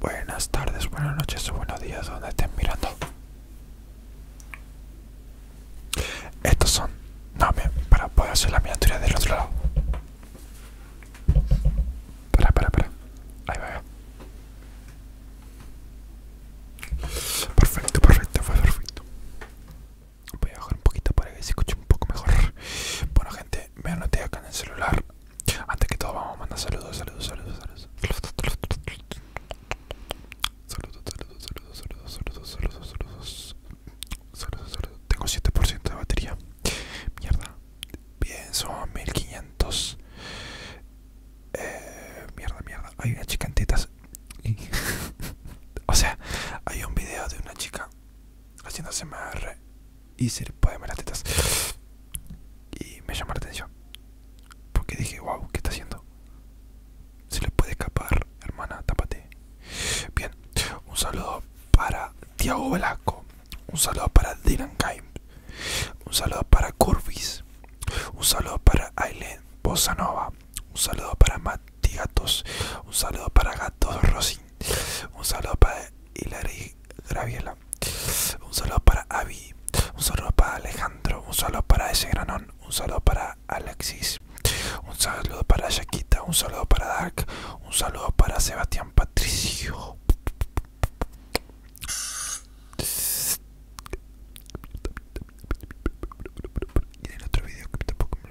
Buenas tardes, buenas noches o buenos días donde estén mirando. Estos son... No, para poder hacer la miniatura del otro lado. Para, para, para. Ahí va. Perfecto, perfecto, fue perfecto. Voy a bajar un poquito para que se escuche un poco mejor. Bueno gente, me anoté acá en el celular. Antes que todo vamos a mandar saludos, saludos, saludos, saludos. Saludos, saludos, saludos, saludos, saludos, saludos, saludos. Saludos, Tengo 7% de batería. Mierda. pienso 1500. Eh, mierda, mierda. Hay una chica en o sea, hay un video de una chica haciendo CMR y se le pueden ver las tetas. Y me llama la atención. Porque dije, wow, ¿qué está haciendo? Se le puede escapar, hermana, tapate Bien, un saludo para Tiago Velasco. Un saludo para Dylan Kaim. Un saludo para Curvis. Un saludo para Aileen Bosanova. Un saludo para Mati Gatos. Un saludo para Gatos Rossi. Un saludo para Hilary Graviela. Un saludo para Abi. Un saludo para Alejandro. Un saludo para ese granón. Un saludo para Alexis. Un saludo para Yaquita Un saludo para Dark. Un saludo para Sebastián Patricio. en otro video que tampoco me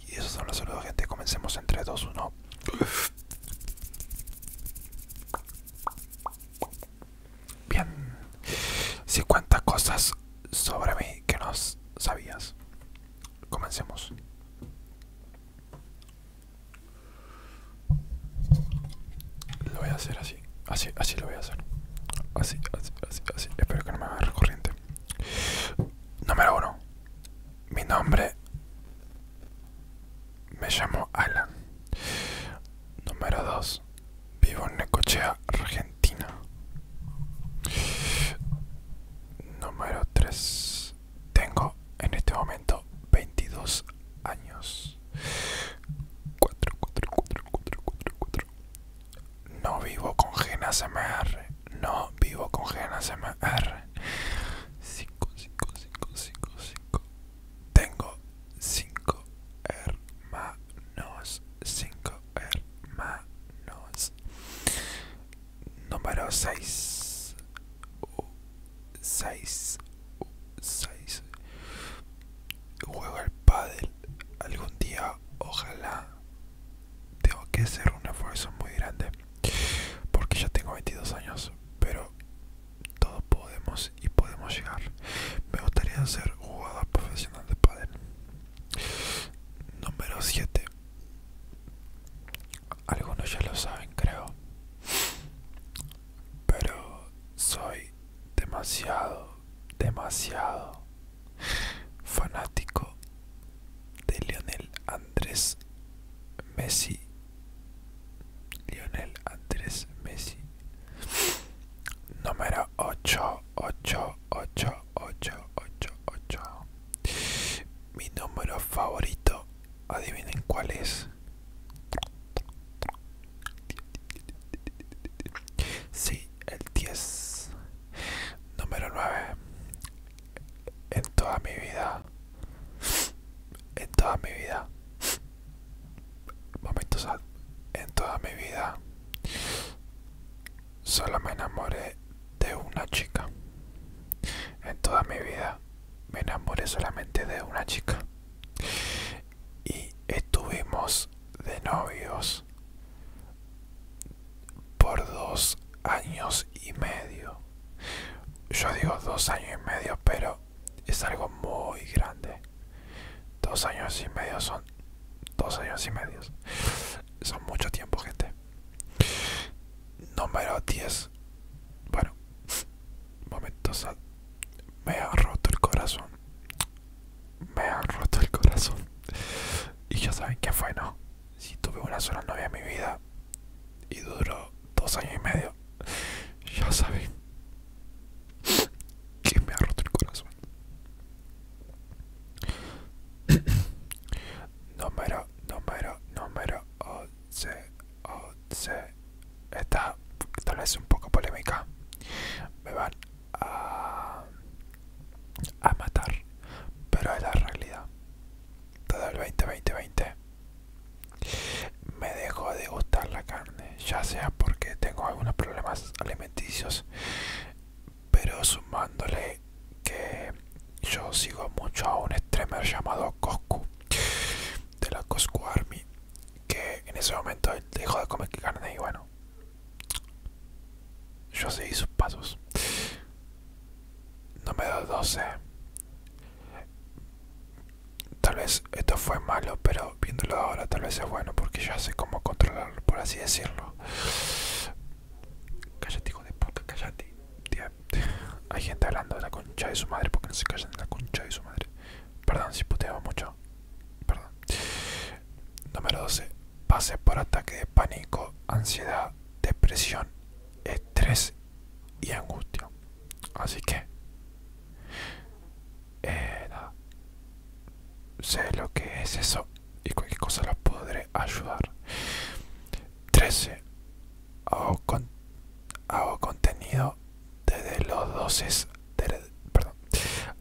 y eso son los saludos, gente. Comencemos entre 2, 1. Bien. 50 cosas sobre mí que no sabías. Comencemos. Lo voy a hacer así. Así, así lo voy a hacer. Así, así, así, así. Espero que no me haga corriente. Número 1. Mi nombre. Me llamo Alan. Número 2. Vivo en Necochea, Argentina. Número 3. Tengo en este momento 22 años. 4, 4, 4, 4, 4, 4, no vivo con MR. No vivo con GNASMR. 5, 5, 5, 5, 5. Tengo 5 hermanos. 5 hermanos. Número 6. 6. 6. Juego al pádel algún día, ojalá tengo que hacer un esfuerzo muy grande porque ya tengo 22 años pero todos podemos y podemos llegar me gustaría ser jugador profesional de pádel número 7 algunos ya lo saben creo pero soy demasiado demasiado fanático de Lionel Andrés Messi. Lionel Andrés Messi. Número 8, 8, 8, 8, 8, 8. Mi número favorito. Adivinen cuál es. Sí, el 10. Número 9. En toda mi vida. En toda mi vida. Momentos en toda mi vida. Solo me enamoré de una chica. En toda mi vida me enamoré solamente de una chica. Y estuvimos de novios por dos años y medio yo digo dos años y medio pero es algo muy grande dos años y medio son dos años y medio son mucho tiempo gente número 10 bueno momentos me ha roto el corazón me ha roto el corazón y ya saben que fue no si tuve una sola novia en mi vida y duró dos años y medio, ya sabí que me ha roto el corazón. número, número, número 11, 11. Esta tal vez un poco polémica. Me van a a matar, pero es la realidad. Todo el 2020 me dejó de gustar la carne, ya sea porque tengo algunos problemas alimenticios, pero sumándole que yo sigo mucho a un streamer llamado Coscu de la Coscu Army, que en ese momento dejó de comer carne y bueno, yo seguí sus pasos. Número 12. Tal vez esto fue malo, pero viéndolo ahora tal vez es bueno porque ya sé cómo controlarlo, por así decirlo. Cállate, hijo de puta, cállate. Hay gente hablando de la concha de su madre porque no se callan de la concha de su madre. Perdón si puteo mucho. Perdón. Número 12. Pase por ataque de pánico, ansiedad depresión, estrés y angustia. Así que, eh, sé lo que es eso y cualquier cosa los podré ayudar. 13. Hago, con, contenido desde los 12, perdón,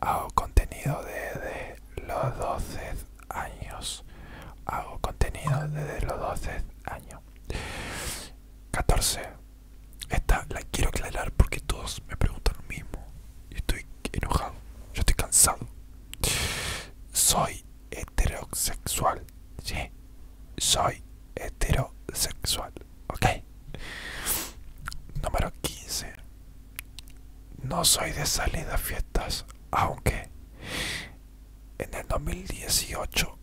hago contenido desde los 12 años. Hago contenido desde los 12 años. 14. Esta la quiero aclarar porque todos me preguntan lo mismo. y estoy enojado. Yo estoy cansado. Soy heterosexual. Soy heterosexual. Ok. Número 15. No soy de salida a fiestas aunque en el 2018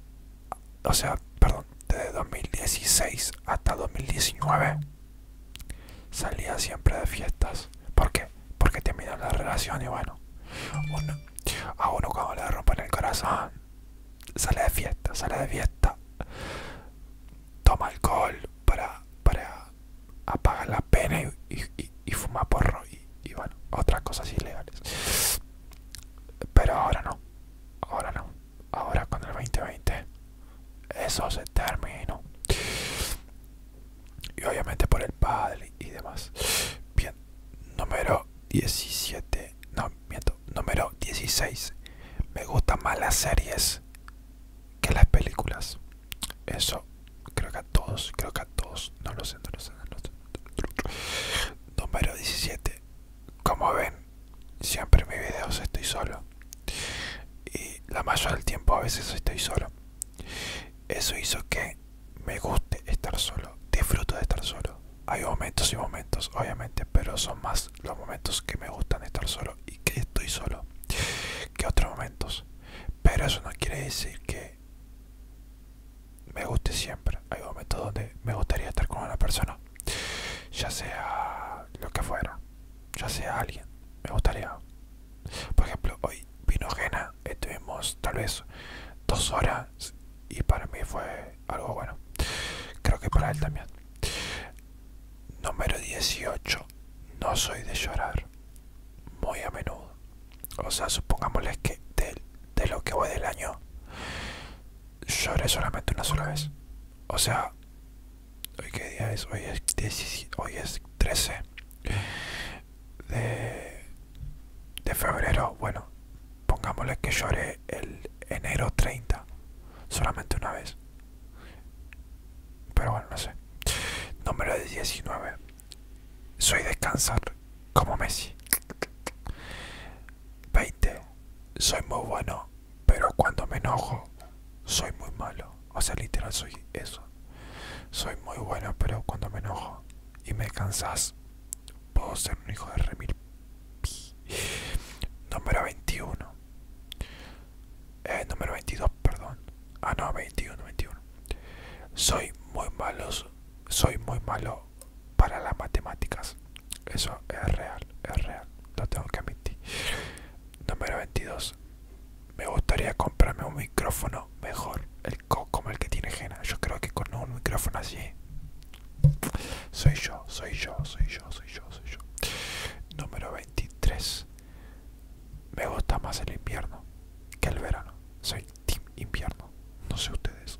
o sea perdón desde 2016 hasta 2019 salía siempre de fiestas ¿por qué? porque terminan la relación y bueno a uno cuando le en el corazón sale de fiesta sale de fiesta toma alcohol para, para apagar la pena y, fuma porro y, bueno, otras cosas ilegales. Pero ahora no, ahora no, ahora con el 2020 eso se terminó. Y obviamente por el padre y demás. Bien, número 17, no, miento, número 16. Me gustan más las series que las películas. Eso, creo que a todos, creo que a todos. No lo sé, no lo sé, lo Número 17. Como ven, siempre en mis videos estoy solo. Y la mayoría del tiempo a veces estoy solo. Eso hizo que me guste estar solo. Disfruto de estar solo. Hay momentos y momentos, obviamente, pero son más los momentos que me gustan estar solo y que estoy solo que otros momentos. Pero eso no quiere decir que me guste siempre. Hay momentos donde me gustaría estar con una persona, ya sea lo que fuera, ya sea alguien. Me gustaría, por ejemplo, hoy vino Gena, estuvimos tal vez dos horas y para mí fue algo bueno. Creo que para él también. Número 18. No soy de llorar muy a menudo. O sea, supongámosles que de, lo que voy del año, lloré solamente una sola vez. O sea, hoy que día es, hoy es, hoy es 13 de, febrero. Bueno, pongámosle que lloré el enero 30, solamente una vez. Pero bueno, no sé. Número de 19. Soy descansar como Messi. 20. Soy muy bueno, pero cuando me enojo, soy muy malo. O sea, literal, soy eso. Soy muy bueno, pero cuando me enojo y me cansas, puedo ser un hijo de remil. Número 21. Eh, número 22, perdón. Ah no, 21, 21. Soy muy malo, soy muy malo para las matemáticas. Eso es real, es real. Lo tengo que admitir. Número 22. Me gustaría comprarme un micrófono mejor, el como el que tiene Jena. Yo creo que con un micrófono así soy yo, soy yo, soy yo, soy yo, soy yo. Número 23. Me gusta más el invierno que el verano. Soy Team Invierno. No sé ustedes.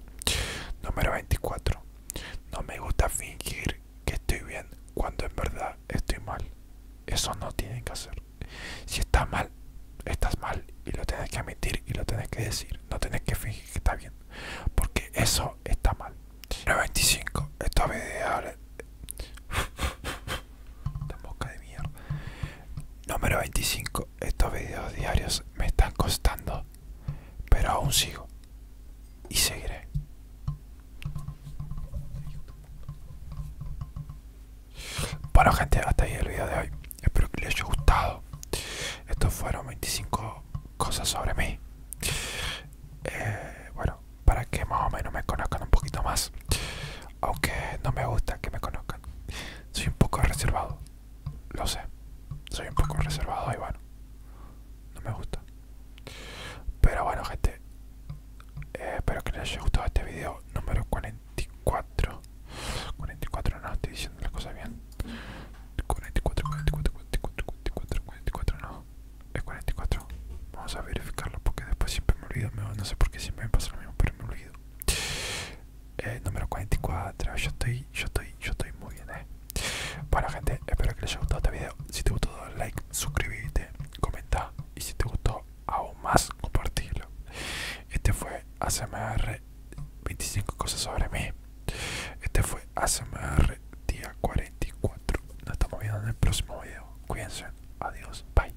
Número 24. No me gusta fingir que estoy bien cuando en verdad estoy mal. Eso no tienen que hacer. Si está mal, estás mal y lo tenés que admitir y lo tenés que decir. No tenés que fingir que está bien. Porque eso está mal. Número 25. Esto es boca de Número 25. Estos videos diarios me están costando. Pero aún sigo. Y seguiré. Bueno gente, hasta ahí el video de hoy. Espero que les haya gustado. Estos fueron 25 cosas sobre mí. Eh, bueno, para que más o menos me conozcan un poquito más. Aunque no me gusta que me conozcan. Soy un poco reservado. Lo sé. Soy un poco reservado y bueno. No me gusta. Pero bueno, gente. Eh, espero que les haya gustado este video número 44. 44 no, estoy diciendo las cosas bien. 44, 44, 44, 44, 44 no. Es 44. Vamos a verificarlo porque después siempre me olvido. No sé por qué siempre me pasa lo mismo, pero me olvido. Eh, número 44. Yo estoy, yo estoy, yo estoy muy bien, eh. Bueno, gente, espero que les haya gustado este video. Si te gustó, like, suscríbete, comenta. Y si te gustó, aún más, compartirlo. Este fue ASMR 25 cosas sobre mí. Este fue ASMR día 44. Nos estamos viendo en el próximo video. Cuídense. Adiós. Bye.